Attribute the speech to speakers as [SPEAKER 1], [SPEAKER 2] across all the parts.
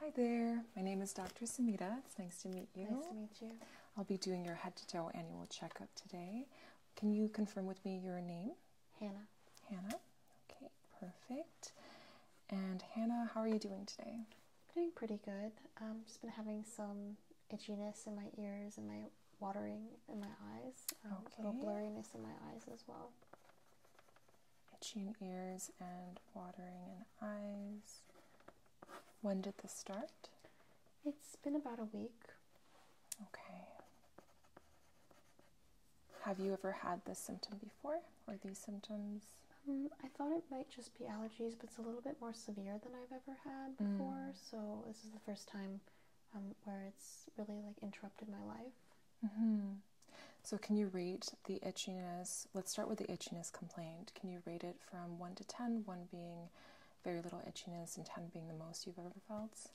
[SPEAKER 1] Hi there, my name is Dr. Samita. It's nice to meet you. Nice to meet you. I'll be doing your head to toe annual checkup today. Can you confirm with me your name? Hannah. Hannah. Okay, perfect.
[SPEAKER 2] And Hannah, how are you doing today? Doing pretty good. Um, just been having some itchiness in my ears and my watering in my eyes. okay. Um, a little blurriness in my eyes as well itchy
[SPEAKER 1] ears and watering in eyes. When did this start? It's been about a week. Okay. Have you ever had this symptom before or these symptoms?
[SPEAKER 2] Um, I thought it might just be allergies, but it's a little bit more severe than I've ever had before. Mm. So this is the first time um, where it's really like interrupted my life.
[SPEAKER 1] Mm-hmm. So, can you rate the itchiness? Let's start with the itchiness complaint. Can you rate it from 1 to 10, 1 being
[SPEAKER 2] very little itchiness and 10 being the most you've ever felt?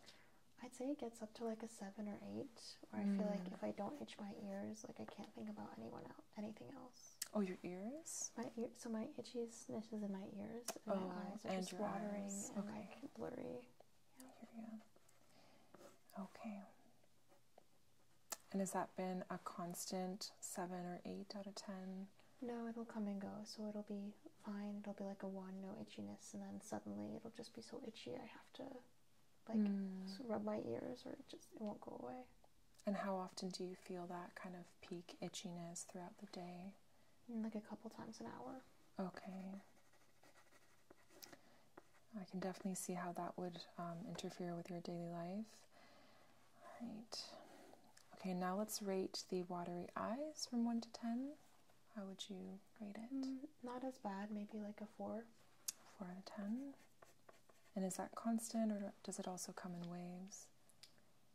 [SPEAKER 2] I'd say it gets up to like a 7 or 8, where I feel like mm. if I don't itch my ears, like I can't think about anyone else, anything else. Oh, your ears? My ear, so my itchiness is in my ears and my oh, eyes, are just watering and okay. blurry.
[SPEAKER 1] Yeah, Okay. And has that been a constant seven or eight out of ten?
[SPEAKER 2] No, it'll come and go. So it'll be fine. It'll be like a one, no itchiness, and then suddenly it'll just be so itchy I have to like hmm. rub my ears or it just it won't go away.
[SPEAKER 1] And how often do you feel that kind of peak itchiness throughout the day?
[SPEAKER 2] Mm, like a couple times an hour.
[SPEAKER 1] Okay. I can definitely see how that would um, interfere with your daily life. All right. Okay, now let's rate the watery eyes from 1 to 10. How would you rate it? Mm, not as bad, maybe like a 4. 4 out of 10. And is that constant or does it also come in waves?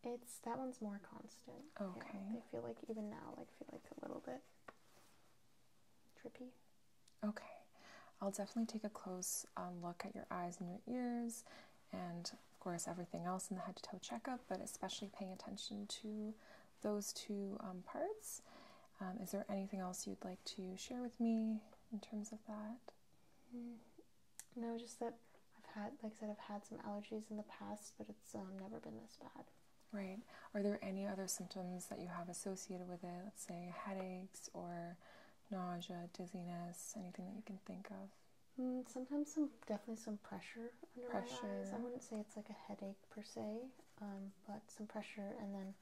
[SPEAKER 1] It's that
[SPEAKER 2] one's more constant. Okay. I feel like even now, like feel like a little bit trippy.
[SPEAKER 1] Okay, I'll definitely take a close um, look at your eyes and your ears, and of course, everything else in the head to toe checkup, but especially paying attention to those two um, parts. Um, is there anything else you'd like to
[SPEAKER 2] share with me in terms of that? Mm, no, just that I've had, like I said, I've had some allergies in the past, but it's never been this bad. Right.
[SPEAKER 1] Are there any other symptoms that you have associated with it? Let's say headaches or
[SPEAKER 2] nausea, dizziness, anything that you can think of? Mm, sometimes some definitely some pressure under my eyes. I wouldn't say it's like a headache per se, um, but some pressure, and then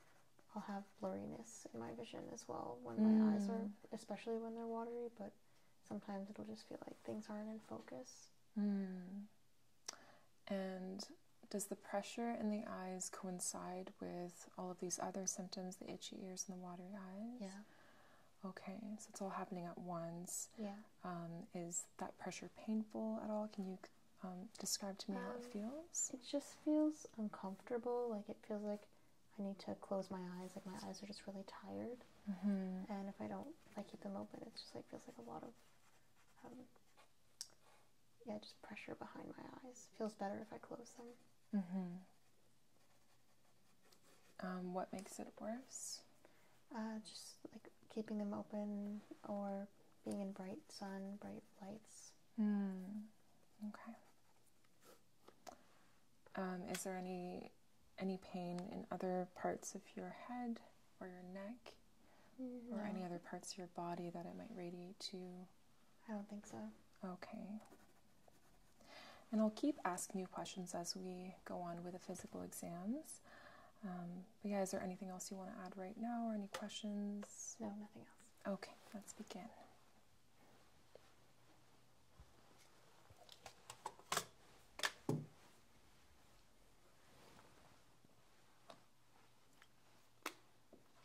[SPEAKER 2] I'll have blurriness in my vision as well when my eyes are, mm. especially when they're watery. But sometimes it'll just feel like things aren't in focus.
[SPEAKER 1] Mm. And does the pressure in the eyes coincide with all of these other symptoms, the itchy ears and the watery eyes? Yeah. Okay, so it's all happening at once. Yeah. Um, is that pressure painful at all? Can you um,
[SPEAKER 2] describe to me how it um, feels? It just feels uncomfortable. Like it feels like I need to close my eyes. Like my eyes are just really tired. Mm-hmm. And if I don't, I keep them open, it just like feels like a lot of yeah, just pressure behind my eyes. Feels better if I close them.
[SPEAKER 1] Mm-hmm. Um, what makes it worse?
[SPEAKER 2] Uh, just like keeping them open or being in bright sun, bright lights.
[SPEAKER 1] Hmm. Okay. Um, is there any any pain in other parts of your head or your neck or any other parts of your body that it might radiate to? I don't think so. Okay. And I'll keep asking you questions as we go on with the physical exams. Um, but yeah, is there anything else you want to add right now or any questions? No, nothing else. Okay, let's begin.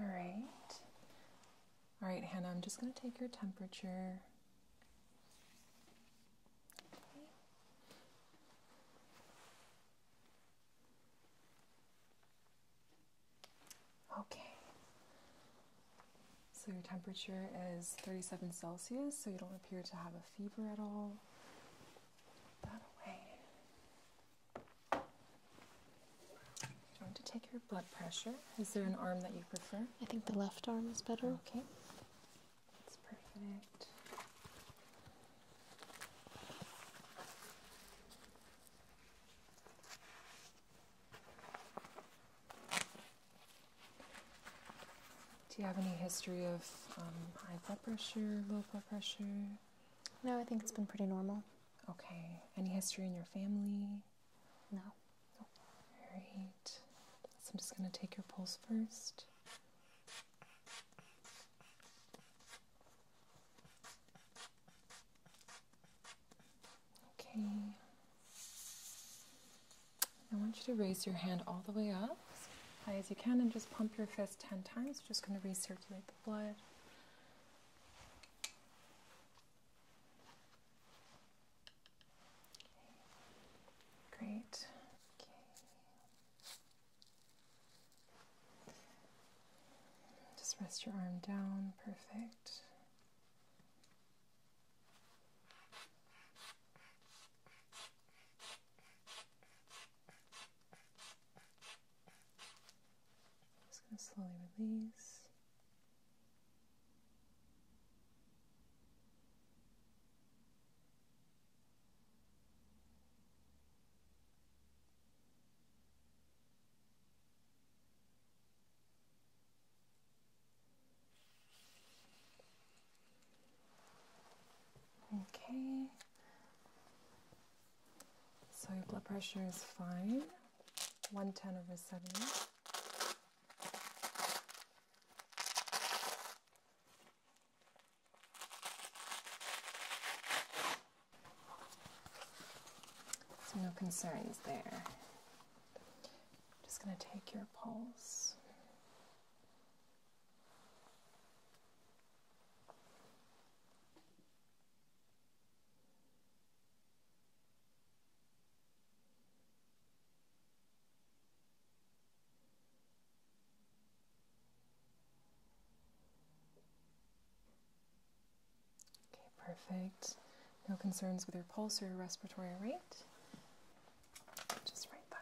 [SPEAKER 1] All right. All right, Hannah, I'm just going to take your temperature. Okay. So your temperature is 37 Celsius, so you don't appear to have a fever at all. Put that away.
[SPEAKER 2] Want to take your blood pressure. Is there an arm that you prefer? I think the left arm is better. Okay. That's perfect.
[SPEAKER 1] Do you have any history of um, high blood pressure, low blood pressure? No, I think it's been pretty normal. Okay. Any history in your family? No. no. I'm just going to take your pulse first. Okay. I want you to raise your hand all the way up as high as you can and just pump your fist 10 times. Just going to recirculate the blood. Great. Okay. Just rest your arm down. Perfect. Just going to slowly release. Okay. So your blood pressure is fine. 110 over 70. So no concerns there. Just going to take your pulse. Okay, perfect. No concerns with your pulse or your respiratory rate. Just right by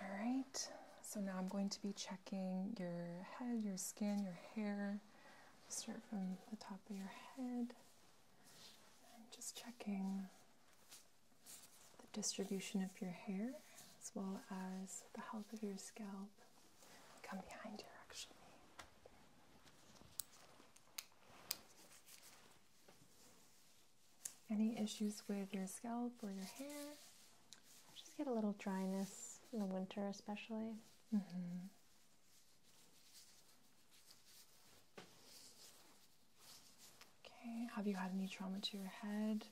[SPEAKER 1] All right, so now I'm going to be checking your head, your skin, your hair. Start from the top of your head. i just checking the distribution of your hair as well as the health of your scalp. Come behind here, actually.
[SPEAKER 2] Any issues with your scalp or your hair? just get a little dryness in the winter, especially. Mm-hmm. Okay, have you had any trauma to your
[SPEAKER 1] head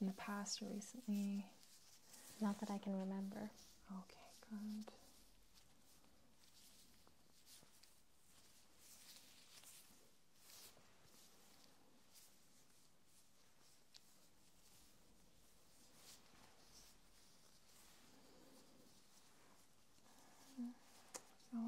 [SPEAKER 1] in the past or recently? Not that I can remember. Okay, good. Mm. Oh,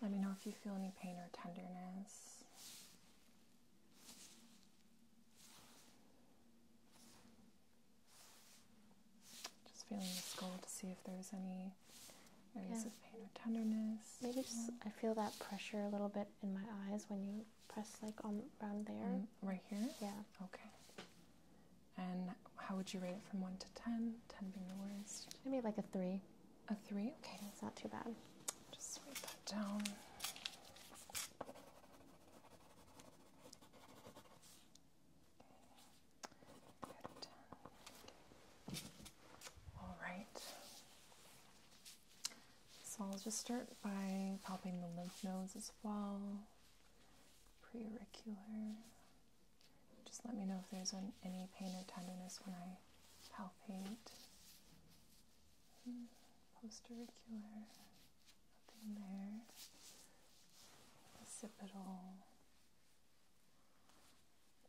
[SPEAKER 1] Let me know if you feel any pain or tenderness.
[SPEAKER 2] Just feeling the skull to see if there's any tenderness. Maybe just I feel that pressure a little bit in my eyes when you press like on around there. Mm, right here? Yeah. Okay.
[SPEAKER 1] And how would you rate it from one to ten? Ten being the worst.
[SPEAKER 2] I made like a three.
[SPEAKER 1] A three? Okay. It's not too bad. Just write that down. All right. So I'll just start by palpating the lymph nodes as well, preauricular. Just let me know if there's any pain or tenderness when I palpate. Hmm, postauricular. nothing there. Occipital,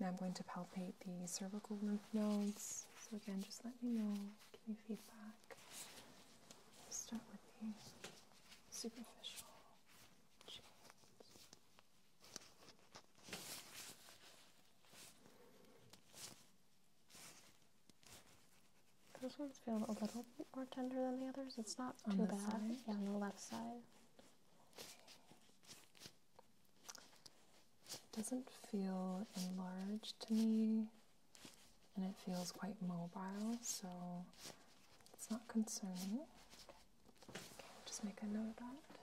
[SPEAKER 1] Now I'm going to palpate the cervical lymph nodes. So again, just let me know, give me feedback. start with the superficial cheeks.
[SPEAKER 2] Those ones feel a little more tender than the others. It's not too bad. Yeah, on the left side. It doesn't feel
[SPEAKER 1] enlarged to me, and it feels quite mobile, so it's not concerning. just make a note of that.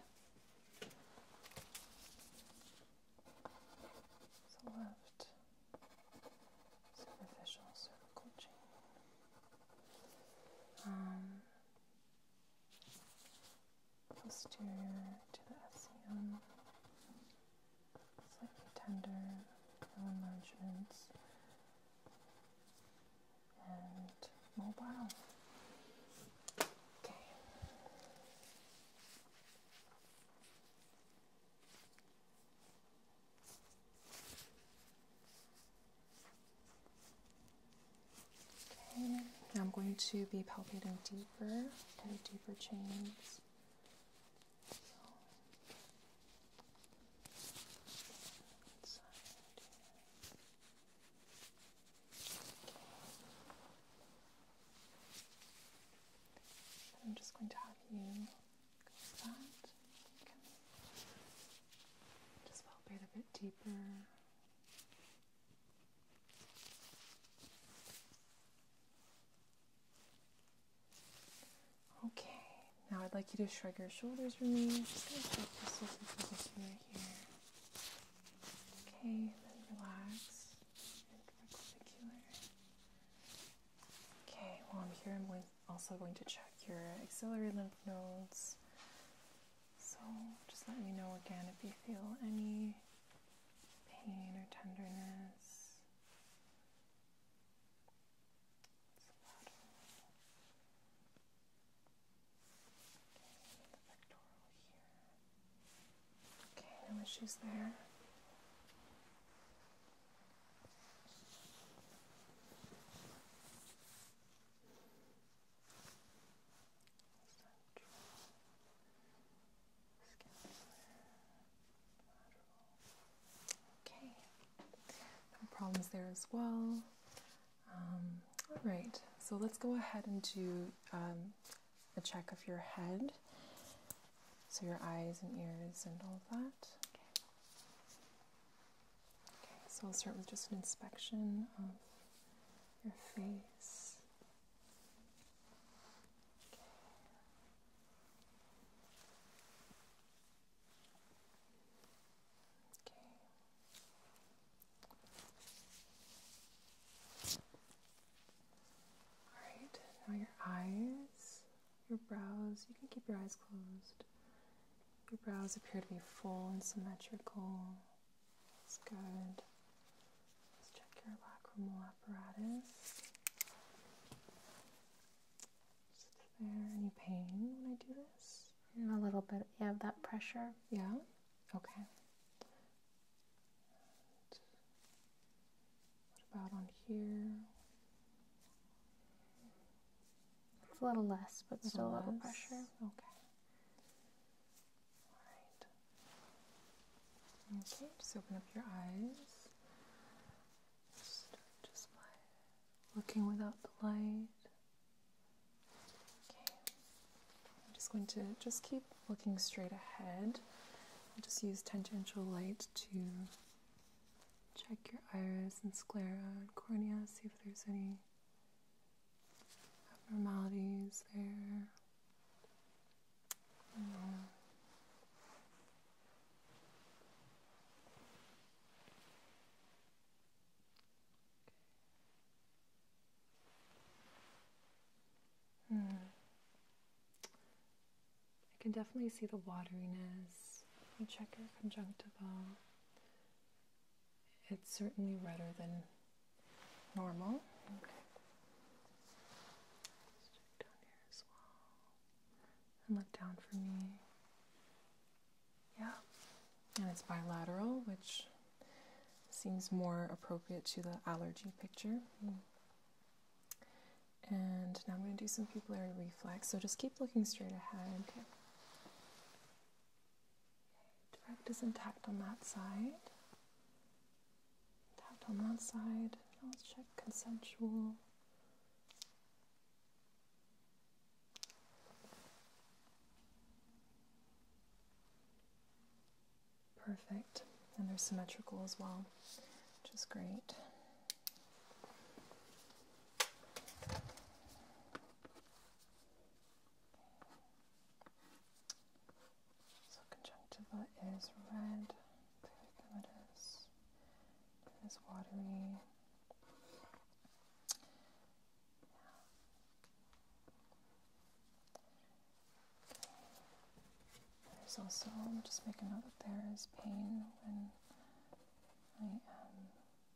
[SPEAKER 1] So left superficial cervical chain posterior um, to the SCM, slightly tender, no enlargements, and mobile. Okay. Okay, I'm going to be palpating deeper, kind deeper chains. I'm just going to have you just palpate a bit deeper. Okay, now I'd like you to shrug your shoulders for me. just gonna shift this into Okay, then relax and perpendicular. Okay, Well, I'm here, i also going to check your axillary lymph nodes. So just let me know again if you feel any pain or tenderness. Okay, no issues there. Okay, no problems there as well. Um, all right, so let's go ahead and do um, a check of your head. So your eyes and ears and all of that. Okay, so I'll start with just an inspection of your face. Okay. All right, now your eyes, your brows, you can keep your eyes closed. Your brows appear to be full and symmetrical. That's good.
[SPEAKER 2] Let's check your lacrimal apparatus. Is there any pain when I do this? Mm, a little bit. You have that pressure. Yeah? Okay. what about on here? It's a little less, but still a little pressure. Okay.
[SPEAKER 1] Alright. Okay, just open up your eyes. just by looking without the light. Okay. I'm just going to just keep looking straight ahead. I'll just use tangential light to check your iris and sclera and cornea, see if there's any abnormalities there. Mm. I can definitely see the wateriness. Let me check your conjunctiva it's certainly redder than normal. Okay. And look down for me. Yeah. And it's bilateral, which seems more appropriate to the allergy picture. And now I'm going to do some pupillary reflex. So just keep looking straight ahead. Okay. Direct is intact on that side. Intact on that side. Now let's check consensual. Perfect. And they're symmetrical as well, which is great. So conjunctiva is red, pigmentous, it is watery. Yeah. Okay. There's also, just making a note that there is pain when I am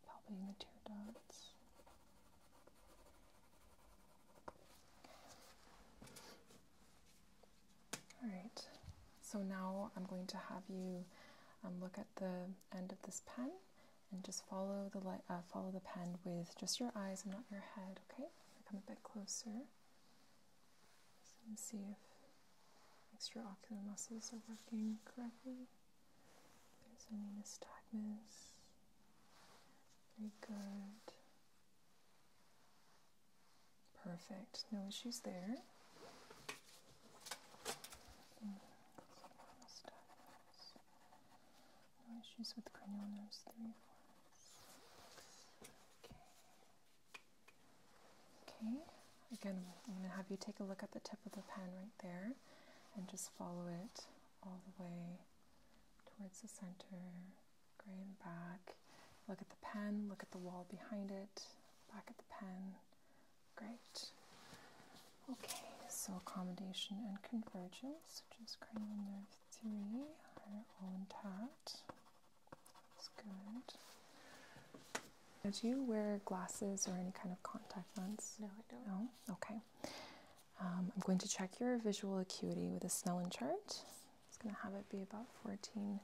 [SPEAKER 1] palpating the tear dots. All right, so now I'm going to have you um, look at the end of this pen and just follow the uh, follow the pen with just your eyes and not your head. Okay, come a bit closer. Let's see if extraocular muscles are working correctly. There's only nystagmus. Very good. Perfect. No issues there. Mm, no issues with cranial nerves 3, 4, Okay. Okay. Again, I'm going to have you take a look at the tip of the pen right there and just follow it all the way towards the center, gray and back. Look at the pen, look at the wall behind it, back at the pen. Great. Okay, so accommodation and convergence, Just is cranial nerve 3, are all intact. That's good. do you wear glasses or any kind of contact lens? No, I don't. No? Okay. Um, I'm going to check your visual acuity with a Snellen chart. It's going to have it be about 14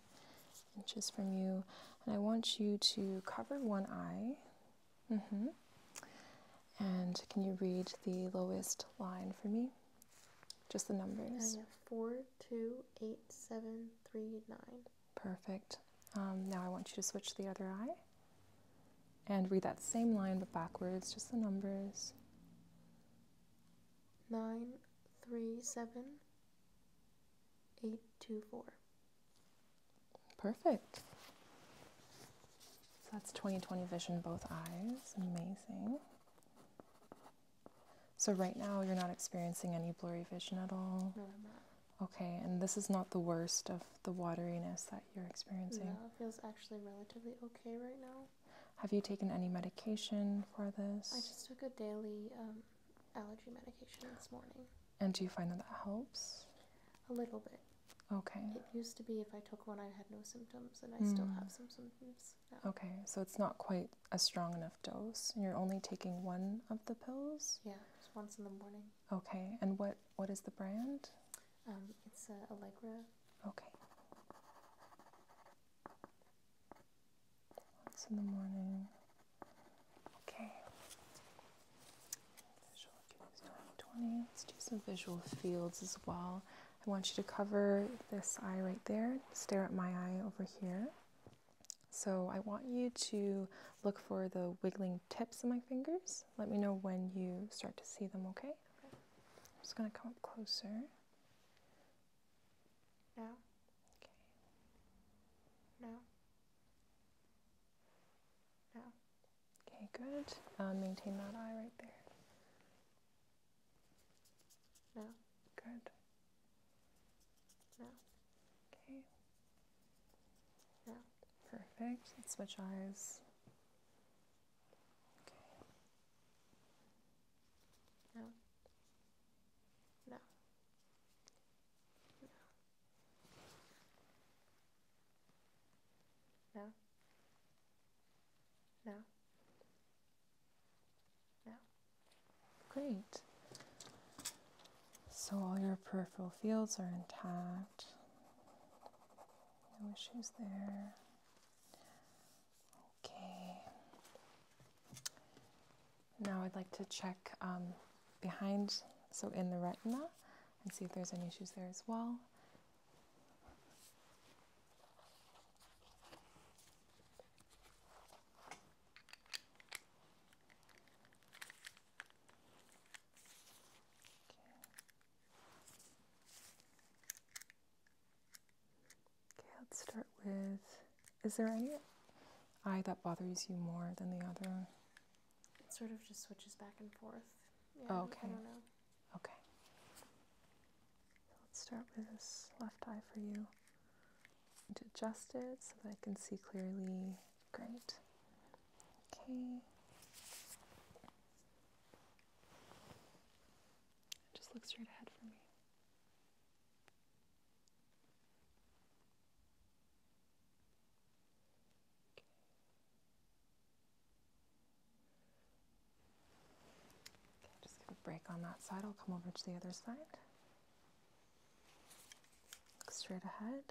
[SPEAKER 1] inches from you, and I want you to cover one eye. Mm -hmm. And can you read the lowest line for me? Just the numbers. I
[SPEAKER 2] four, two, eight, seven, three, nine.
[SPEAKER 1] Perfect. Um, now I want you to switch the other eye and read that same line but backwards, just the numbers.
[SPEAKER 2] Nine, three, seven, eight, two, four.
[SPEAKER 1] Perfect. So that's twenty twenty vision, both eyes. Amazing. So right now you're not experiencing any blurry vision at all. No, I'm not. Okay, and this is not the worst of the wateriness that you're experiencing. No,
[SPEAKER 2] it feels actually relatively okay right now.
[SPEAKER 1] Have you taken any medication for this? I just
[SPEAKER 2] took a daily um, allergy medication this morning.
[SPEAKER 1] And do you find that that helps? A little bit. Okay.
[SPEAKER 2] It used to be if I took one, I had no symptoms, and I hmm. still have some symptoms now. Okay,
[SPEAKER 1] so it's not quite a strong enough dose. You're only taking one of the pills?
[SPEAKER 2] Yeah, just once in the morning.
[SPEAKER 1] Okay, and what, what is the brand?
[SPEAKER 2] Um, it's uh, Allegra.
[SPEAKER 1] Okay. Once in the morning. Okay. twenty. Let's do some visual fields as well. I want you to cover this eye right there. Stare at my eye over here. So I want you to look for the wiggling tips of my fingers. Let me know when you start to see them, okay? okay. just going to come up closer.
[SPEAKER 2] Now? Okay.
[SPEAKER 1] Now? Now? Okay, good. Uh, maintain that eye right there.
[SPEAKER 2] Now? Good. Now? Okay. Yeah,
[SPEAKER 1] perfect. Let's switch eyes. Okay.
[SPEAKER 2] No. No. No. No. No. Great.
[SPEAKER 1] So all your peripheral fields are intact. No issues there. Okay. Now I'd like to check um, behind, so in the retina, and see if there's any issues there as well. Okay, let's start with Is there any eye that bothers you more than the other?
[SPEAKER 2] It sort of just switches back and forth. okay.
[SPEAKER 1] Okay. let's start with this left eye for you. to adjust it so that I can see clearly. Great. Okay. Just look straight ahead for me. Okay. just give a break on that side. I'll come over to the other side. Look straight ahead.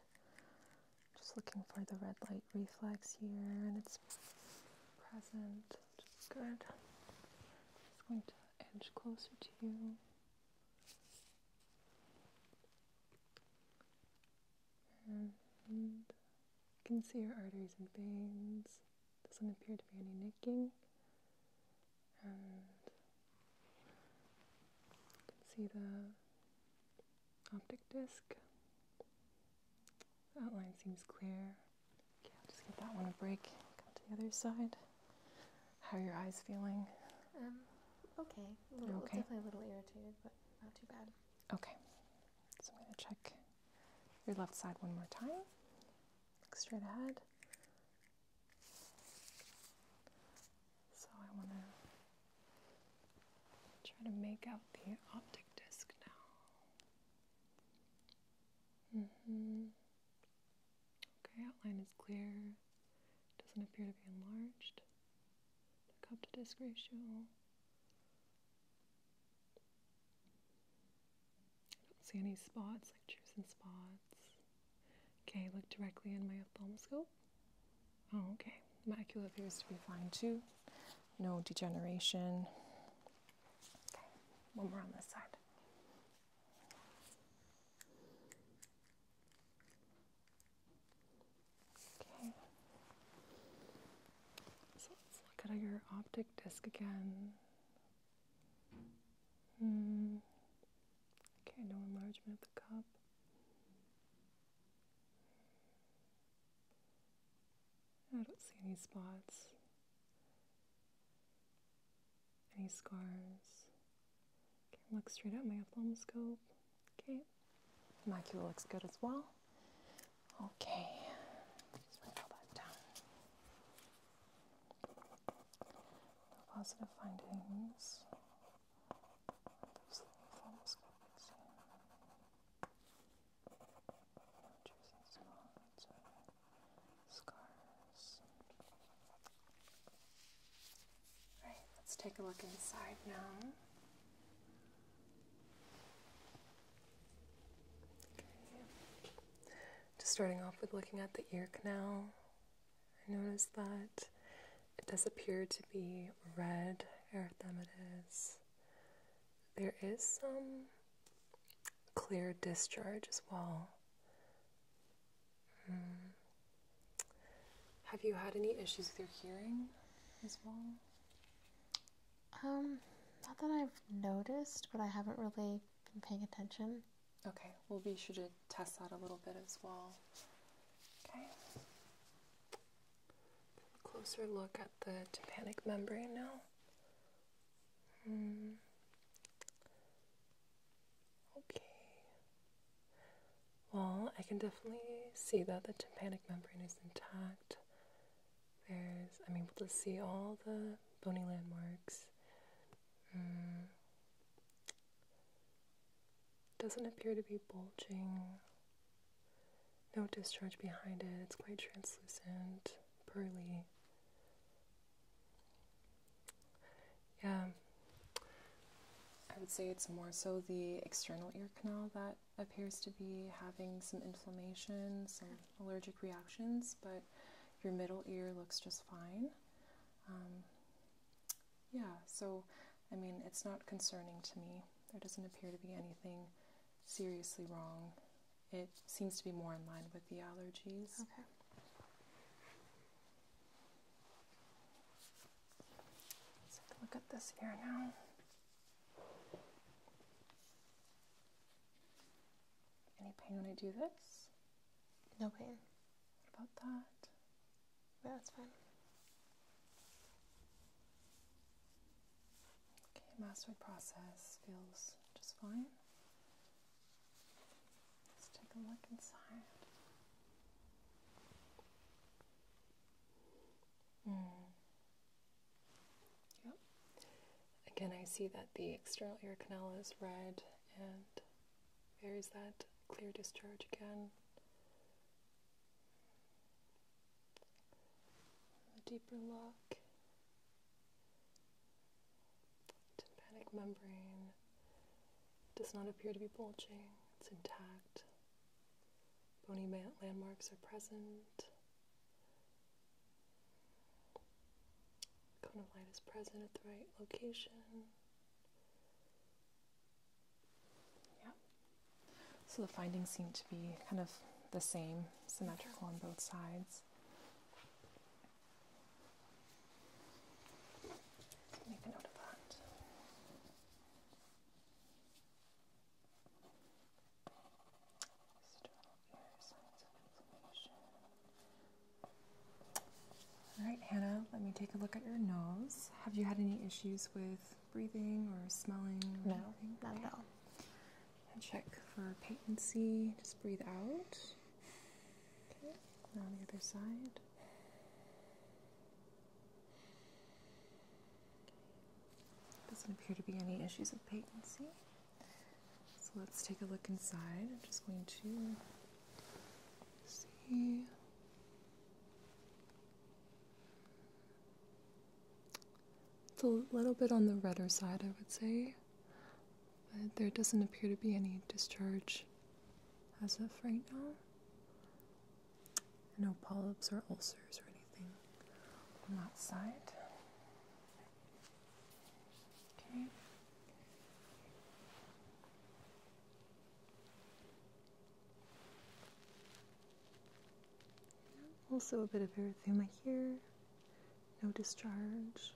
[SPEAKER 1] Just looking for the red light reflex here and it's present, good. Just going to edge closer to you. And you can see your arteries and veins. Doesn't appear to be any nicking. And you can see the optic disc. The outline seems clear. Okay, I'll just give that one a break. Come to the other side. How are your eyes feeling?
[SPEAKER 2] Um, okay. A little, okay. Definitely a little irritated, but not too bad.
[SPEAKER 1] Okay. So I'm going to check your left side one more time. Look straight ahead. So I want to Try to make out the optic disc now. Mm-hmm. Okay, outline is clear. Doesn't appear to be enlarged. The cup to disc ratio. I don't see any spots, like trucing spots. Okay, look directly in my ophthalmoscope. Oh, okay, macula appears to be fine too. No degeneration. Okay, one more on this side. Okay. So let's look at your optic disc again. Hmm. Okay, no enlargement of the cup. I don't see any spots, any scars. Okay, look straight at my ophthalmoscope. Okay, macula looks good as well. Okay, just lay all that down. No positive findings. Larger let's take a look inside now. Just starting off with looking at the ear canal, I notice that it does appear to be red erythematous. There is some clear discharge as well. Hmm. Have you had any issues with your hearing as well?
[SPEAKER 2] Um, not that I've noticed, but I haven't really been paying attention. Okay, we'll be sure to
[SPEAKER 1] test that a little bit as well. Okay. A closer look at the tympanic membrane now. Hmm. Okay. Well, I can definitely see that the tympanic membrane is intact. There's, I'm able to see all the bony landmarks. Hmm. Doesn't appear to be bulging no discharge behind it. It's quite translucent, pearly. Yeah, I would say it's more so the external ear canal that appears to be having some inflammation, some allergic reactions, but your middle ear looks just fine. Um, yeah, so I mean, it's not concerning to me. There doesn't appear to be anything seriously wrong. It seems to be more in line with the allergies. Okay. look at this ear now. Any pain when I do this? No pain. about that? Yeah, that's fine. Okay, mastoid process feels just fine. Let's take a look inside. Hmm. Yep. Again, I see that the external ear canal is red, and there is that clear discharge again a deeper look. Tympanic membrane does not appear to be bulging, it's intact. Bony landmarks are present. Cone of light is present at the right location. Yeah. So the findings seem to be kind of the same, symmetrical on both sides. Make a note of that. All right, Hannah, let me take a look at your nose. Have you had any issues with breathing or smelling? no, not at all and check for patency. Just breathe out. Okay, now the other side. Doesn't appear to be any issues of patency. So let's take a look inside. I'm just going to see. It's a little bit on the redder side, I would say, but there doesn't appear to be any discharge as of right now. No polyps or ulcers or anything on that side. Okay. Also, a bit of erythema here, no discharge,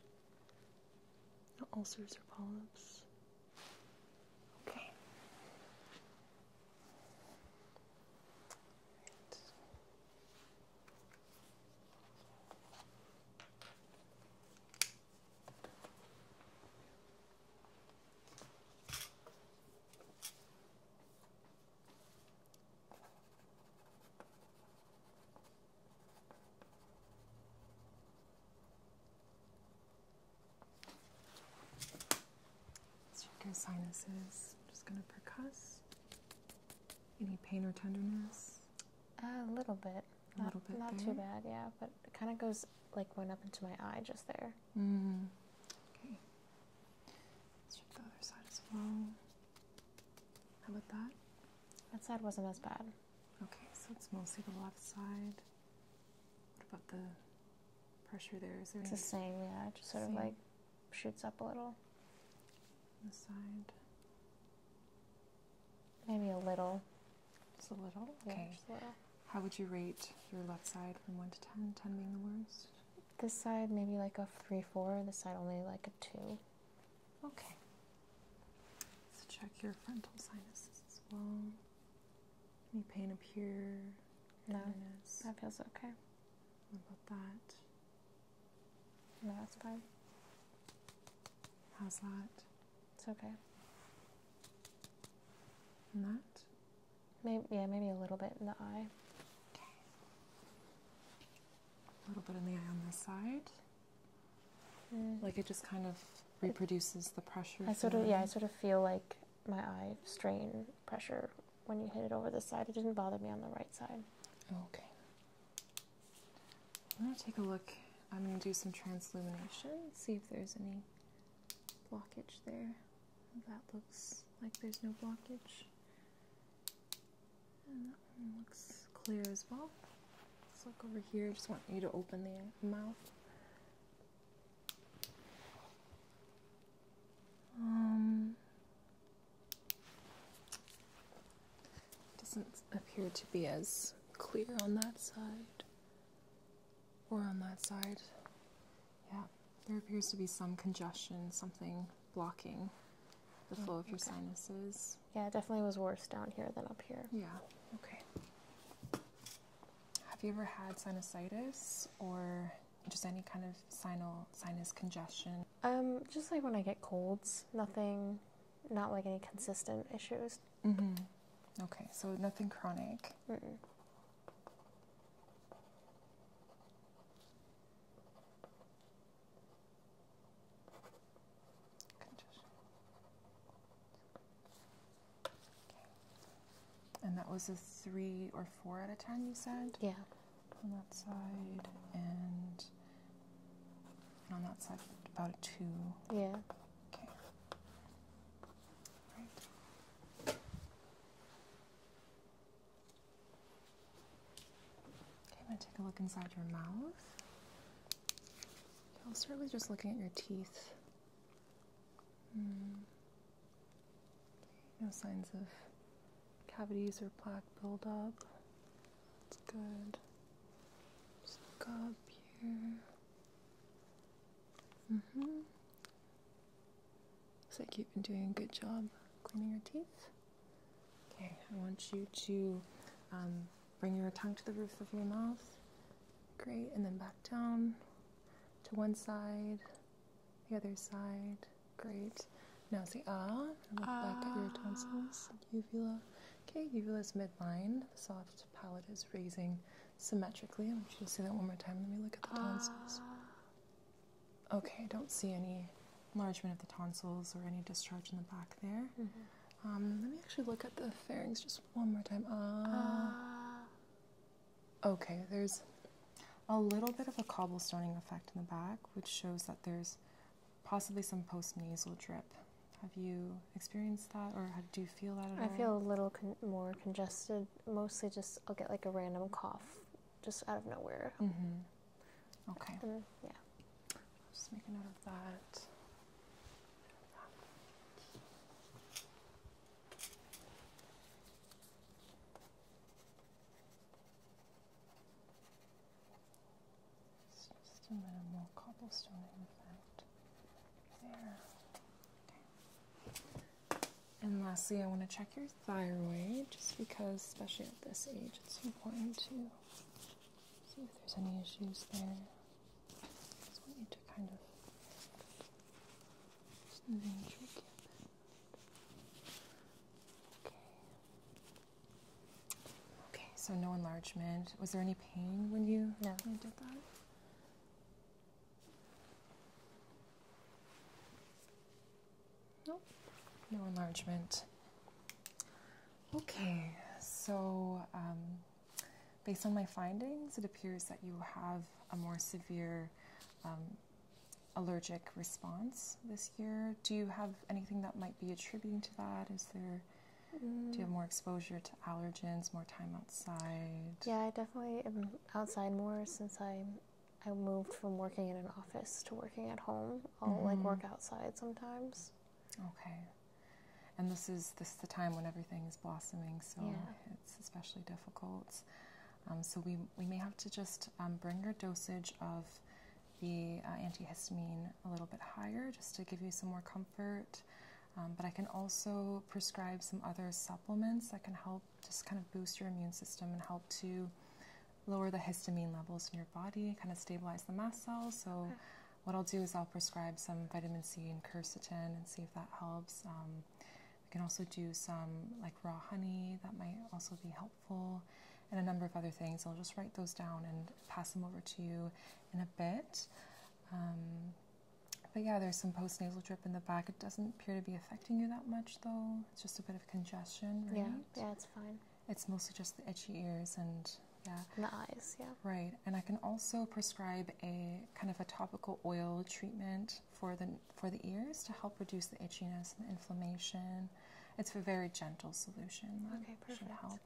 [SPEAKER 1] no ulcers or polyps. Okay. Check his sinuses. just gonna
[SPEAKER 2] percuss.
[SPEAKER 1] Any pain or tenderness?
[SPEAKER 2] a little bit.
[SPEAKER 1] little not, bit. Not too bad,
[SPEAKER 2] yeah. But it kind of goes like went up into my eye just there. Mm-hmm. Okay. Let's check the other side as well. How about that? That side wasn't as bad. Okay, so it's mostly the left side. What about the pressure there? Is there it's the same, yeah. It just sort of like shoots up a little. The side. Maybe a little. Just a little? Okay. just a little. How would you rate your left side from 1 to 10? 10 being the worst? This side maybe like a 3 4, this side only like a 2. Okay. Let's check your frontal
[SPEAKER 1] sinuses as well. Any pain up here? No.
[SPEAKER 2] That feels okay. What about that? No, that's fine. How's that? It's okay. And that? Maybe, yeah, maybe a little bit in the eye. Okay
[SPEAKER 1] a little bit in the eye on this side. Mm. Like it just kind of reproduces the pressure. I sort of yeah, I
[SPEAKER 2] sort of feel like my eye strain pressure when you hit it over the side. It didn't bother me on the right side.
[SPEAKER 1] Okay. I'm gonna take a look. I'm gonna do some translumination, see if there's any blockage there. That looks like there's no blockage that one looks clear as well. Let's look over here. I just want you to open the mouth. Um, doesn't appear to be as clear on that side or on that side. Yeah, there appears to be some congestion, something blocking the flow of your sinuses. Yeah, it definitely was worse down here than up here. Yeah, okay. Have you ever had sinusitis or just any kind of sinal sinus congestion?
[SPEAKER 2] Um, just like when I get colds, nothing, not like any consistent issues. hmm
[SPEAKER 1] Okay, so nothing chronic. Mm -mm. And that was a three or four out of ten, you said? Yeah. On that side, and on that side,
[SPEAKER 2] about a two. Yeah. Okay. Right.
[SPEAKER 1] Okay, I'm going to take a look inside your mouth. I'll start with just looking at your teeth. Hmm. no signs of cavities or plaque buildup. That's good. Just look up here. hmm Looks like you've been doing a good job cleaning your teeth. Okay, I want you to um, bring your tongue to the roof of your mouth. Great, and then back down to one side, the other side. Great. Now say ah, look back at your tonsils, ah. uvula. Okay, uvula is midline. The soft palate is raising symmetrically. I want you to say that one more time. Let me look at the tonsils. Ah. Okay, I don't see any enlargement of the tonsils or any discharge in the back there.
[SPEAKER 2] Mm-hmm.
[SPEAKER 1] Um, let me actually look at the pharynx just one more time. Uh. uh, Okay, there's a little bit of a cobblestoning effect in the back, which shows that there's possibly some postnasal drip. Have you experienced that, or do you feel
[SPEAKER 2] that I all? feel a little more congested. Mostly, just I'll get like a random cough, just out of nowhere. Mm-hmm. Okay. yeah. I'll just make a note of that.
[SPEAKER 1] just a minimal cobblestoning effect there. Okay. And lastly, I want to check your thyroid just because, especially at this age, it's important to see if there's any issues there. just want you to kind of smooth and Okay. Okay, so no enlargement. Was there any pain when you, when you did that? Nope, no enlargement. Okay, so um, based on my findings, it appears that you have a more severe um, allergic response this year. Do you have anything that might be attributing to that? Is there do you have more exposure to allergens, more time outside?
[SPEAKER 2] Yeah, I definitely am outside more since I I moved from working in an office to working at home, I'll like work mm-hmm. outside sometimes.
[SPEAKER 1] Okay. And this is this is the time when everything is blossoming, so it's especially difficult. Um, so we we may have to just um, bring your dosage of the uh, antihistamine a little bit higher, just to give you some more comfort. Um, but I can also prescribe some other supplements that can help just kind of boost your immune system and help to lower the histamine levels in your body, kind of stabilize the mast cells. So, what I'll do is I'll prescribe some vitamin C and quercetin and see if that helps. Um, we can also do some like raw honey that might also be helpful, and a number of other things. I'll just write those down and pass them over to you in a bit. Um, but yeah, there's some postnasal drip in the back. It doesn't appear to be affecting you that much, though. It's just a bit of congestion, right?
[SPEAKER 2] Yeah, yeah, it's fine.
[SPEAKER 1] It's mostly just the itchy ears and yeah.
[SPEAKER 2] the eyes, yeah. Right.
[SPEAKER 1] And I can also prescribe a kind of a topical oil treatment for the for the ears to help reduce the itchiness and the inflammation. It's a very gentle solution. That okay, perfect. Should help.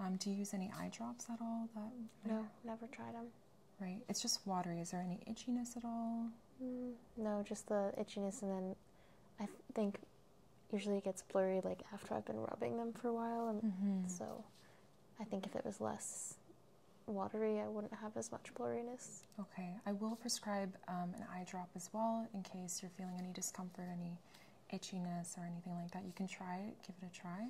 [SPEAKER 1] Um, do you use any eye drops at all? That no,
[SPEAKER 2] never tried them. Right. It's just watery. Is there any itchiness at all? Mm, no, just the itchiness, and then I think usually it gets blurry like after I've been rubbing them for a while, and mm-hmm. so I think if it was less watery, I wouldn't have as much blurriness.
[SPEAKER 1] Okay, I will prescribe um, an eye drop as well in case you're feeling any discomfort, any itchiness, or anything like that. You can try it, give it a try.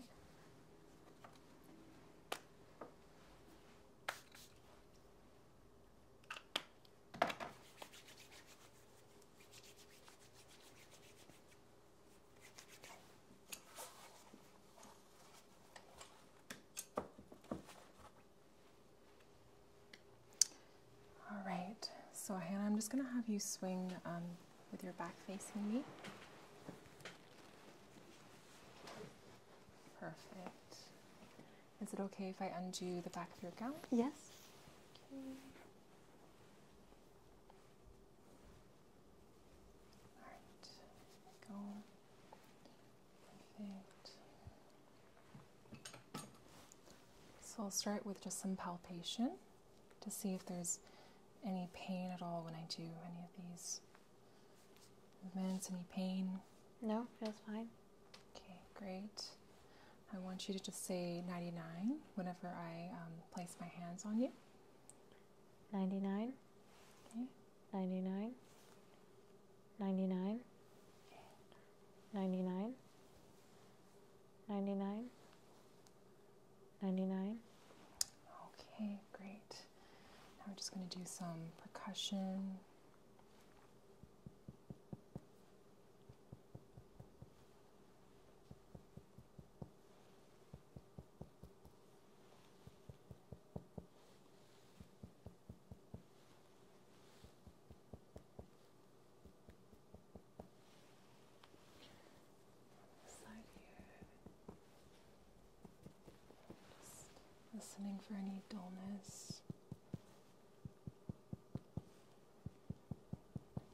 [SPEAKER 1] All right, so Hannah, I'm just going to have you swing um, with your back facing me. Perfect. Is it okay if I undo the back of your gown? Yes. Okay. Alright, go. Perfect. So I'll start with just some palpation to see if there's any pain at all when I do any of these movements, any pain. No, feels fine. Okay, great. I want you to just say 99 whenever I um, place my hands on you.
[SPEAKER 2] 99. Okay. 99. 99. Okay. 99. 99. 99. Okay, great.
[SPEAKER 1] Now we're just going to do some percussion.
[SPEAKER 2] Side here.
[SPEAKER 1] Just listening for any dullness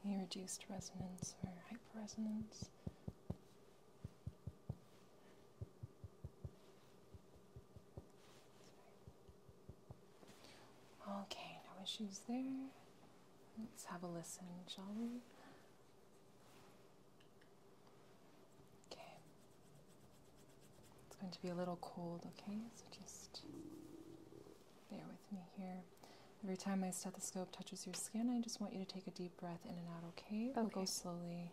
[SPEAKER 1] any reduced resonance or resonance. Okay, no issues there. Let's have a listen, shall we? Okay. It's going to be a little cold, okay? So just bear with me here. Every time my stethoscope touches your skin, I just want you to take a deep breath in and out, okay? okay. We'll go slowly.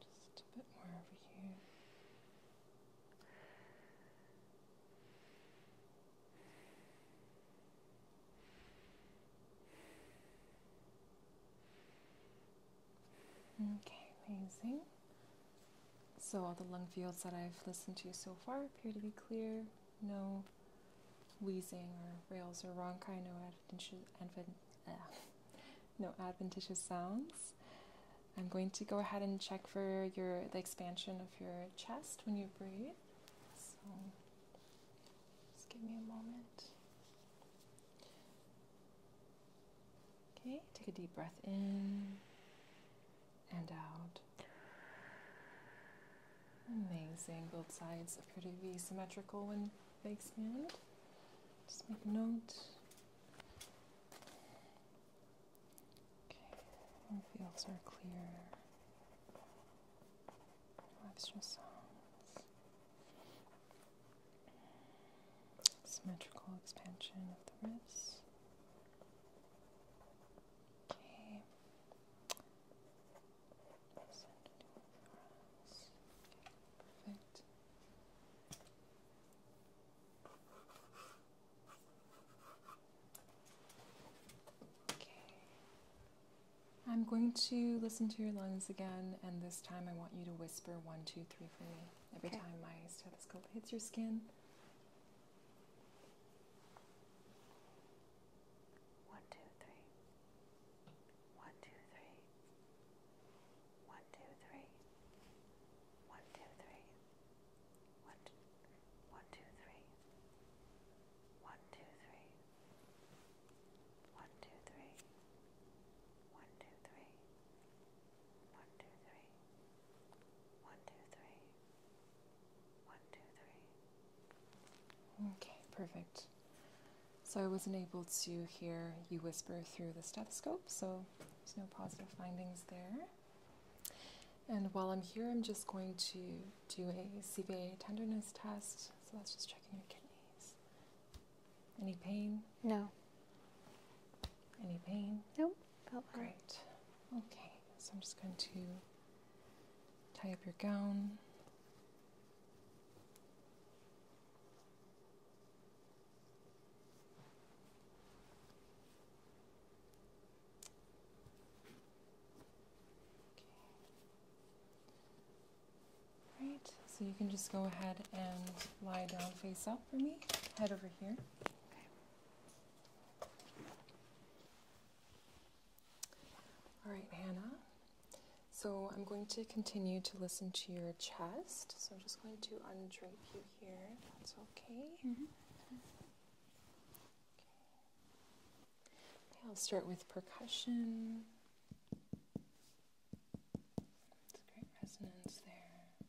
[SPEAKER 1] Just a bit more over here. Okay, amazing. So, all the lung fields that I've listened to so far appear to be clear. No wheezing or rails or ronchi, no adventitious, sounds. I'm going to go ahead and check for your the expansion of your chest when you breathe. just give me a moment. Okay, take a deep breath in and out. Amazing. Both sides appear to be symmetrical when they expand. Just make a note. Okay, fields are clear. No extra sounds. Symmetrical expansion of the wrists. Okay. Perfect. Okay. I'm going to listen to your lungs again, and this time I want you to whisper one, two, three for me every time my stethoscope hits your skin.
[SPEAKER 2] One, two, three. One, two, three. One, two, three. One, two, three. One, two, one, two, three. One, two, three. One, two, three. One, two, three.
[SPEAKER 1] Okay, perfect. So I wasn't able to hear you whisper through the stethoscope, so there's no positive findings there. And while I'm here, I'm just going to do a CVA tenderness test. So that's just checking your kidneys. Any pain? No. Any pain? Nope. Great. Okay, so I'm just going to tie up your gown. Okay. Right. So you can just go ahead and lie down face up for me. Head over here. Okay. All right, Hannah. So I'm going to continue to listen to your chest. So I'm just going to undrape you here. That's okay. Mm-hmm. I'll start with percussion. It's great resonance there.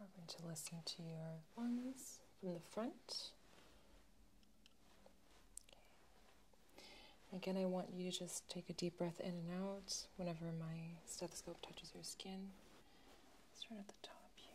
[SPEAKER 1] I'm going to listen to your lungs from the front. Again, I want you to just take a deep breath in and out whenever my stethoscope touches your skin. Start at the top here.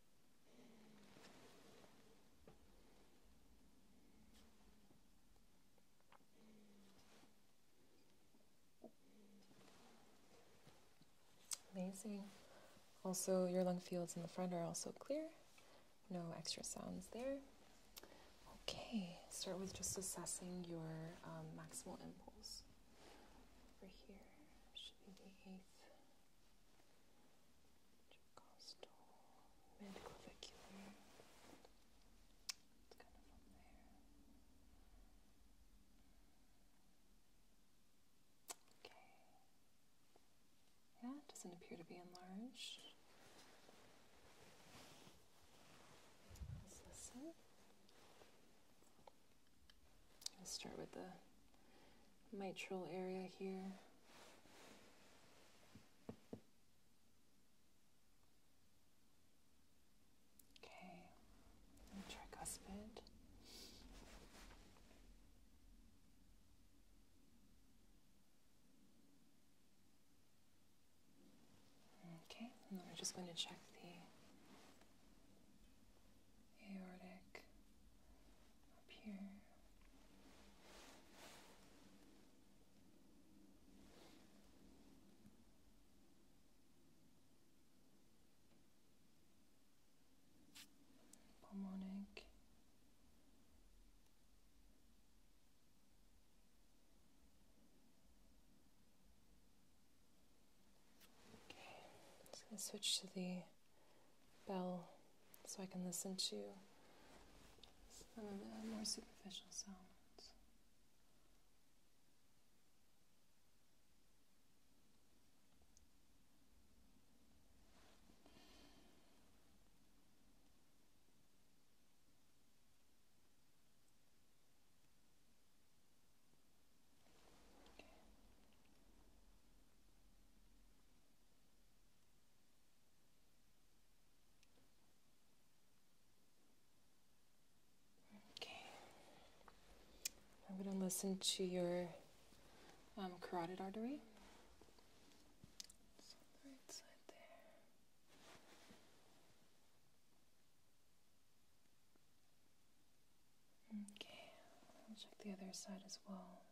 [SPEAKER 1] Amazing. Also, your lung fields in the front are also clear. No extra sounds there. Okay, start with just assessing your um, maximal impulse. Over here should be the eighth intercostal, midclavicular. It's kind of up there. Okay. Yeah, it doesn't appear to be enlarged. Let's listen. I'll start with the mitral area here. Okay, and tricuspid. Okay, and then we're just going to check the aortic up here. Pulmonic. Okay, I'm switch to the bell so I can listen to some of the more superficial sounds. Okay. I'm going to listen to your um, carotid artery. Okay, I'll check the other side as well.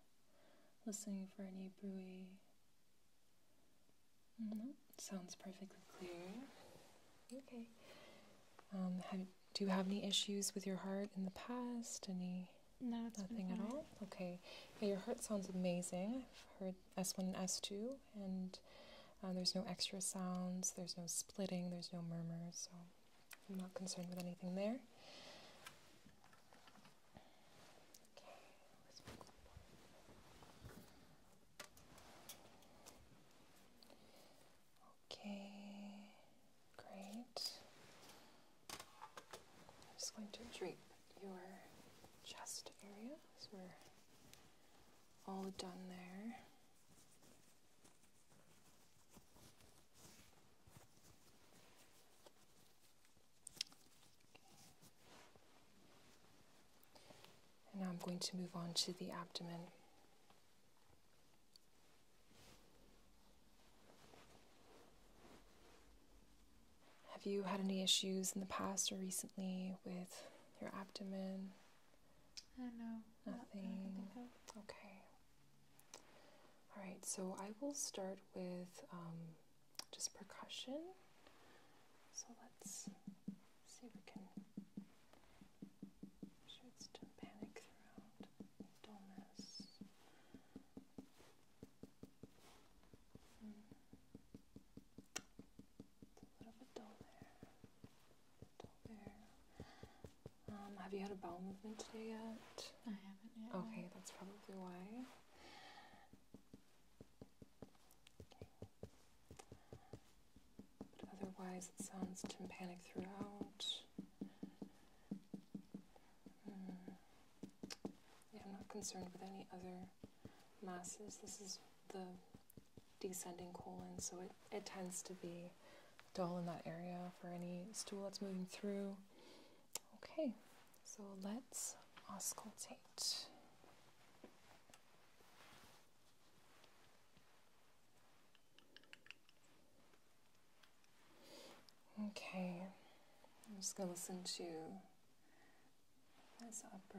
[SPEAKER 1] Listening for any buoy Mm-hmm. sounds perfectly clear. Okay. Um, do you have any issues with your heart in the past? Any?
[SPEAKER 2] No, nothing at all.
[SPEAKER 1] Okay. your heart sounds amazing. I've heard S1 and S2, and uh, there's no extra sounds. There's no splitting. There's no murmurs. So I'm not concerned with anything there. Okay, great. I'm just going to drape your chest area so we're all done there. And now I'm going to move on to the abdomen. Have you had any issues in the past or recently with your abdomen? Uh, no. Nothing. okay. All right, so I will start with um, just percussion. So let's see if we can sure it's done throughout dullness. Hmm. It's a little bit dull there. Dull there. Um, have you had a bowel movement today yet? I haven't yet. Okay, that's probably why. But otherwise, it sounds tympanic throughout. Hmm. I'm not concerned with any other masses. This is the descending colon, so it, it tends to be dull in that area for any stool that's moving through. Okay, so let's auscultate.
[SPEAKER 2] Okay, I'm
[SPEAKER 1] just going to listen to this upper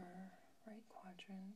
[SPEAKER 1] right quadrant.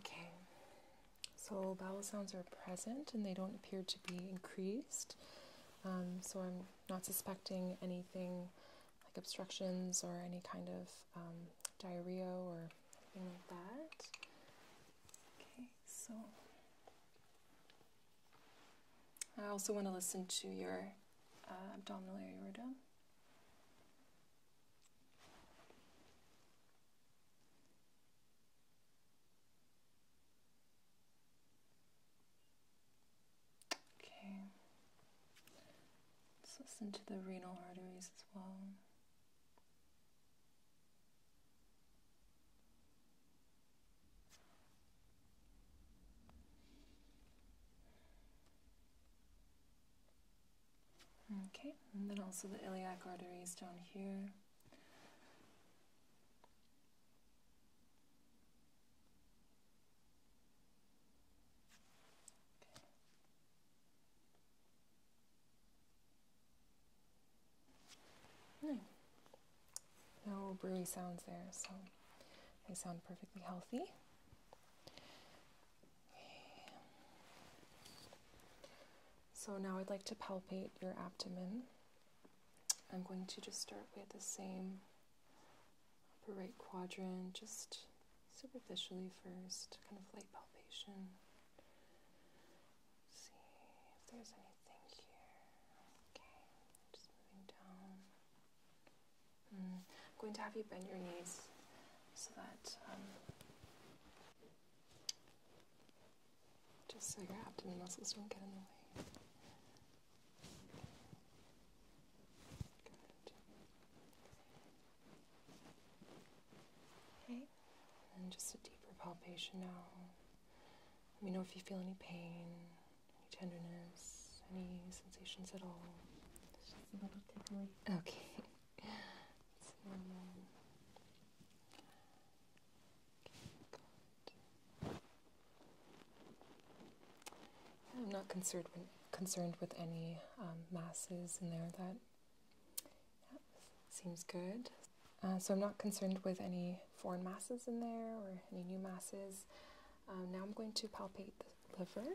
[SPEAKER 1] Okay, so bowel sounds are present and they don't appear to be increased. Um, so I'm not suspecting anything like obstructions or any kind of um, diarrhea or anything like that. Okay, so I also want to listen to your uh, abdominal aorta. Okay. Let's listen to the renal arteries as well. Okay, and then also the iliac arteries down here. Hmm. No. no sounds there, so they sound perfectly healthy. So now I'd like to palpate your abdomen. I'm going to just start with the same upper right quadrant, just superficially first, kind of light palpation. see if there's
[SPEAKER 2] anything here.
[SPEAKER 1] Okay, just moving down. I'm mm. going to have you bend your knees so that um, just so your abdomen muscles don't get in the way. Good. Okay, and just a deeper palpation now. Let me know if you feel any pain, any tenderness, any sensations at all. It's just a little tickly. Okay. I'm not concerned with, concerned with any um, masses in there. That, seems good. Uh, so I'm not concerned with any foreign masses in there or any new masses. Um, now I'm going to palpate liver.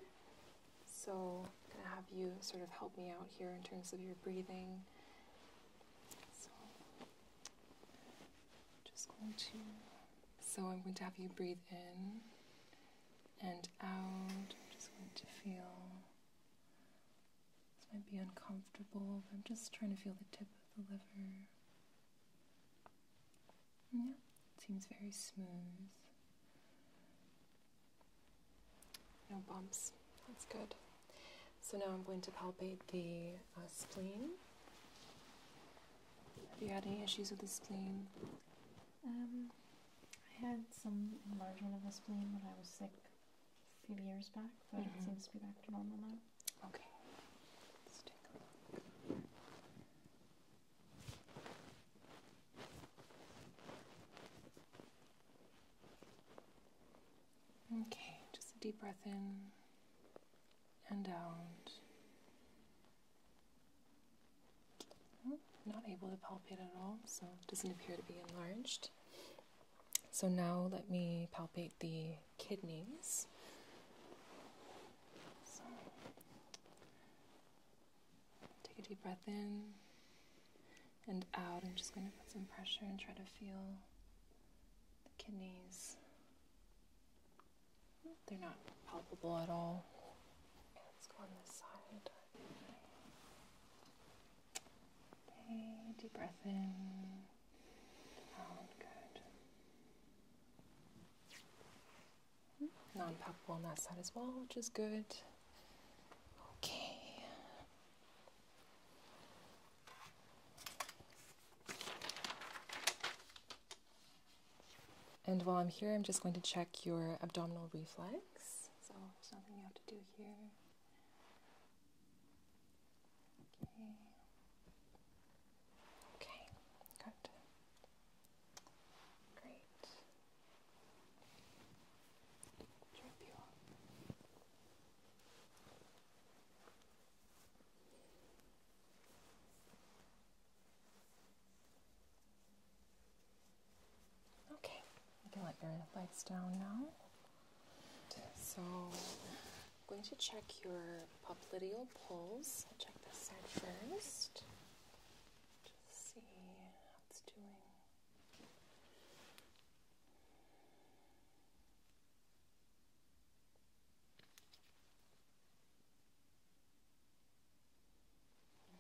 [SPEAKER 1] So I'm going to have you sort of help me out here in terms of your breathing. So just going to. So I'm going to have you breathe in and out. I'm just going to feel. This might be uncomfortable, but I'm just trying to feel the tip of the liver. Mm, yeah, it seems very smooth. No bumps. That's good. So now I'm going to palpate the uh, spleen. Have you had any issues with the spleen?
[SPEAKER 2] Um, I had some enlargement of the spleen when I was sick a few years back, but it mm-hmm. seems to be back to normal now. Okay. Let's take a look.
[SPEAKER 1] Okay, just a deep breath in and out. Oh, not able to palpate at all, so it doesn't appear to be enlarged. So now let me palpate the kidneys. Take a deep breath in and out. I'm just going to put some pressure and try to feel the kidneys. They're not palpable at all. let's go on this side. Okay, deep breath in. Out, good. Non palpable on that side as well, which is good. Okay. And while I'm here, I'm just going to check your abdominal reflex. So there's nothing you have to do here. Okay. Okay, good. Great. Okay, you can let your lights down now. So, I'm going to check your popliteal pulse. I'll check this side first. Just see how it's doing.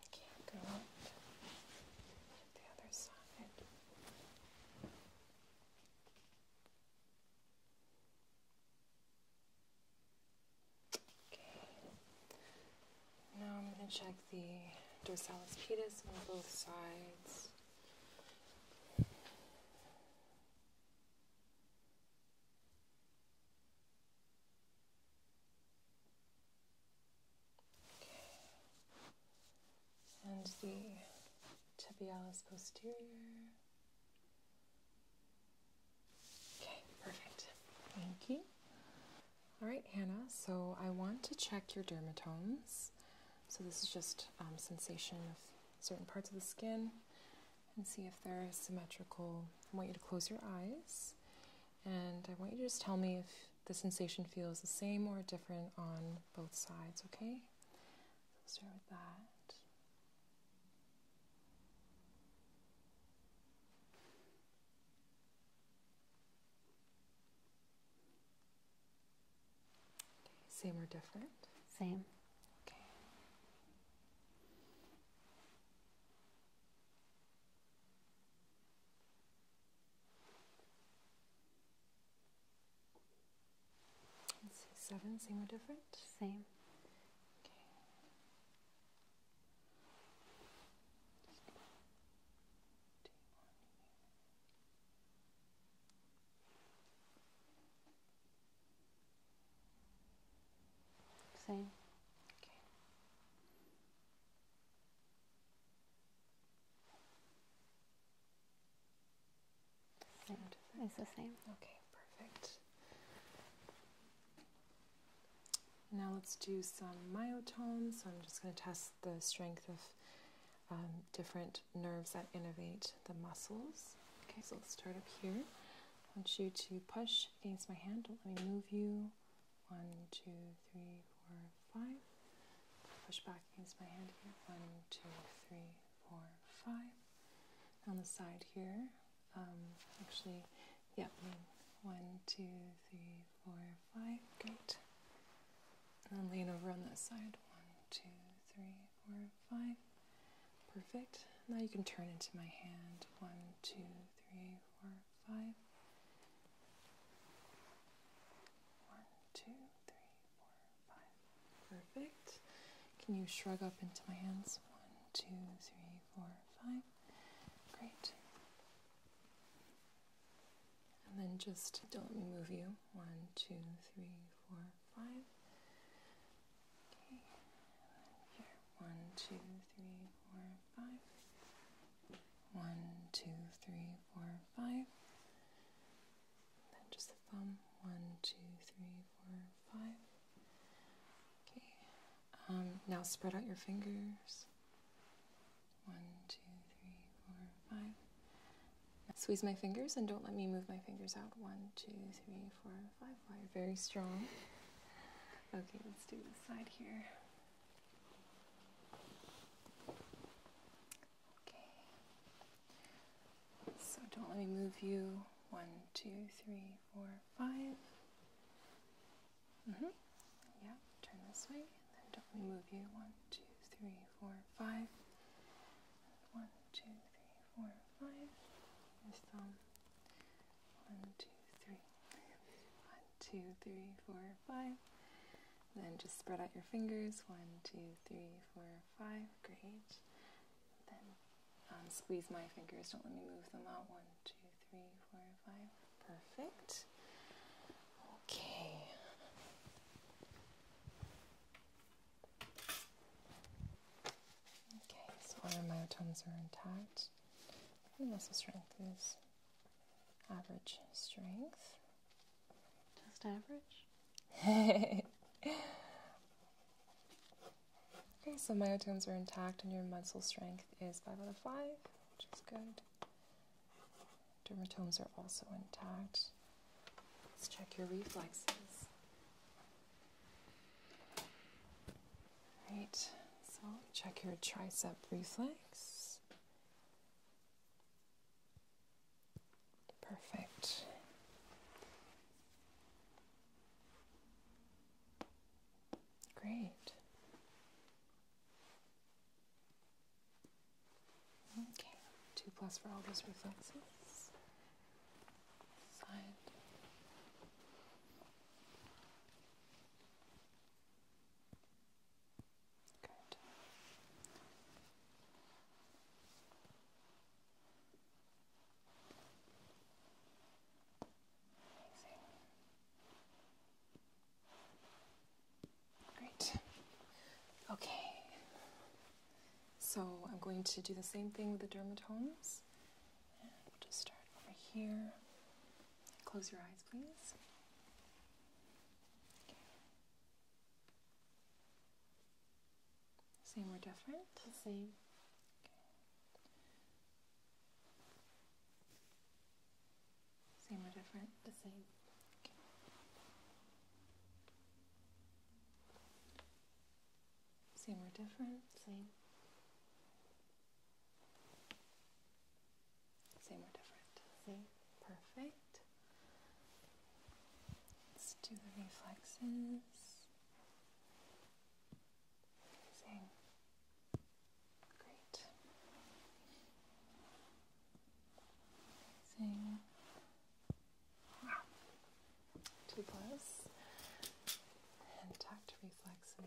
[SPEAKER 1] Okay, go on to the other side. Okay, now I'm going to check the dorsalis pedis on both sides. Okay. And the tibialis posterior. Okay, perfect. Thank you. All right, Hannah, so I want to check your dermatomes. So this is just um, sensation of certain parts of the skin and see if they're symmetrical. I want you to close your eyes and I want you to just tell me if the sensation feels the same or different on both sides, okay? So start with that. Same or different?
[SPEAKER 2] Same. Okay.
[SPEAKER 1] Let's see, seven, same or different? Same. Okay.
[SPEAKER 2] Same. Okay. Same. It's the same.
[SPEAKER 1] Okay, perfect. Now let's do some myotones. So I'm just going to test the strength of um, different nerves that innervate the muscles. Okay, so let's start up here. I want you to push against my hand. Don't let me move you. One, two, three, four, five. Push back against my hand here. One, two, three, four, five. On the side here, um, actually, yeah, one, two, three, four, five. Good. And then lean over on that side. One, two, three, four, five. Perfect. Now you can turn into my hand. One, two, three, four, five. One, two, three, four, five. Perfect. Can you shrug up into my hands? One, two, three, four, five. Great. And then just don't move you. One, two, three, four, five. Okay. Here. One, two, three, four, five. One, two, three, four, five. then just the thumb. One, two, three, four, five. Okay. Um, now spread out your fingers. One, two, three, four, five. Squeeze my fingers and don't let me move my fingers out. One, two, three, four, five. you're very strong. Okay, let's do this side here. Okay. So don't let me move you. One, two, three, four, five. Mm-hmm. Yeah, turn this way then don't we move you? One, two, three, four, five. One, two, three, four, five. Your thumb. One, two, three. One, two, three, four, five. then just spread out your fingers. One, two, three, four, five. Great. Then um, squeeze my fingers. Don't let me move them out. One, two, three, four, five. Perfect. Okay. Okay, so all our myotones are intact. The muscle strength is average strength. Just average? okay, so myotones are intact and your muscle strength is 5 out of 5, which is good. Dermatomes are also intact. Let's check your reflexes. Right, so check your tricep reflex. Perfect. Great. Okay, two plus for all those reflexes. Good. Amazing. Great. Okay. So I'm going to do the same thing with the dermatomes. And we'll just start over here. Close your eyes, please. Same or different? same. Same or different? The same. Same or different? Same. Same or different? Same. Perfect. Let's do the reflexes. Same. Great two plus and tact reflexes.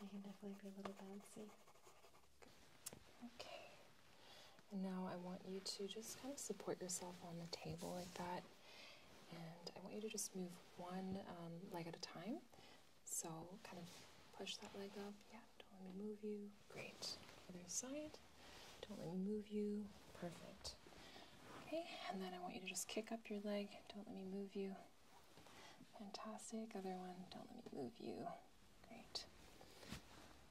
[SPEAKER 1] I can definitely be a little bouncy. Okay. now I want you to just kind of support yourself on the table like that. And I want you to just move one um, leg at a time. So kind of push that leg up. Yeah. Don't let me move you. Great. Other side. Don't let me move you. Perfect. Okay, and then I want you to just kick up your leg. Don't let me move you. Fantastic. Other one. Don't let me move you. Great.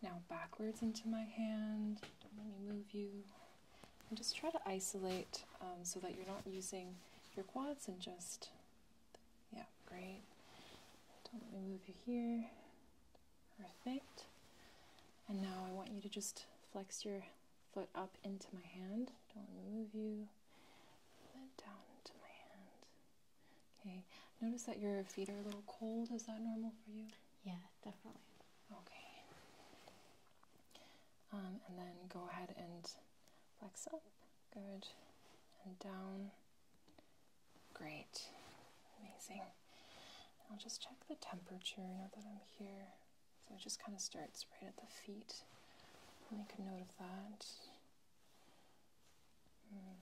[SPEAKER 1] Now backwards into my hand. Don't let me move you. And just try to isolate um, so that you're not using your quads and just, yeah, great. Don't let me move you here. Perfect. And now I want you to just flex your foot up into my hand. Don't move you. Then down into my hand. Okay. Notice that your feet are a little cold. Is that normal for you? Yeah, definitely. Okay. Um, and then go ahead and flex up. Good. And down. Great. Amazing. I'll just check the temperature now that I'm here. So it just kind of starts right at the feet. Make a note of that.
[SPEAKER 2] Hmm.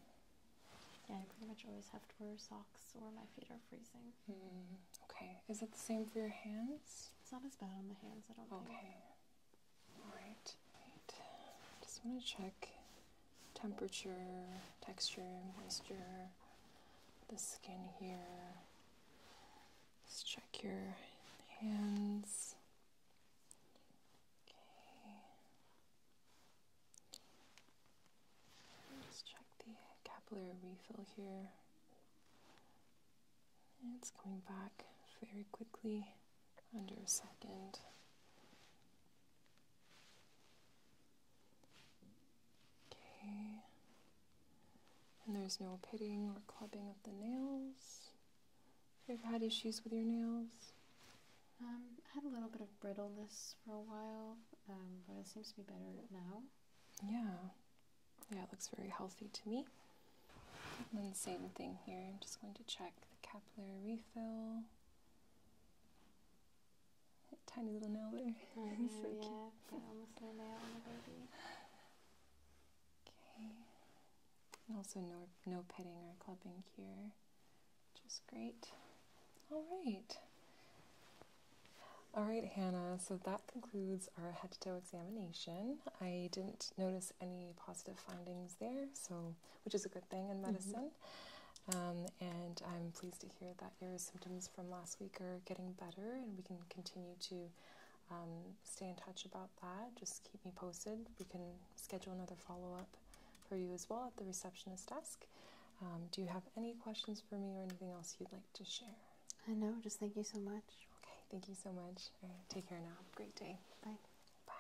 [SPEAKER 2] Yeah, I pretty much always have to wear socks or my feet are freezing. Hmm. Okay. Is that the same for your hands? It's not as bad on the hands, I don't
[SPEAKER 1] okay. think. Okay. Alright. Just want to check temperature, texture, moisture, the skin here. Let's check your hands. Okay. Just check the capillary refill here. it's coming back very quickly, under a second. Okay. And there's no pitting or clubbing of the nails.
[SPEAKER 2] Have you ever had issues with your nails? Um, I had a little bit of brittleness for a while, um, but it seems to be better now. Yeah. Yeah, it
[SPEAKER 1] looks very healthy to me. And same thing here. I'm just going to check the capillary refill. Tiny little nail there.
[SPEAKER 2] I yeah, almost a nail on the baby.
[SPEAKER 1] Okay. And also no no petting or clubbing here, which is great. All right. All right, Hannah. So that concludes our head to toe examination. I didn't notice any positive findings there, so which is a good thing in mm-hmm. medicine. Um, and I'm pleased to hear that your symptoms from last week are getting better, and we can continue to um, stay in touch about that. Just keep me posted. We can schedule another follow up for you as well at the receptionist desk. Um, do you have any questions for me or anything else you'd like to share? I uh, know, just thank you so much. Okay, thank you so much. take care now. Great day. Bye. Bye.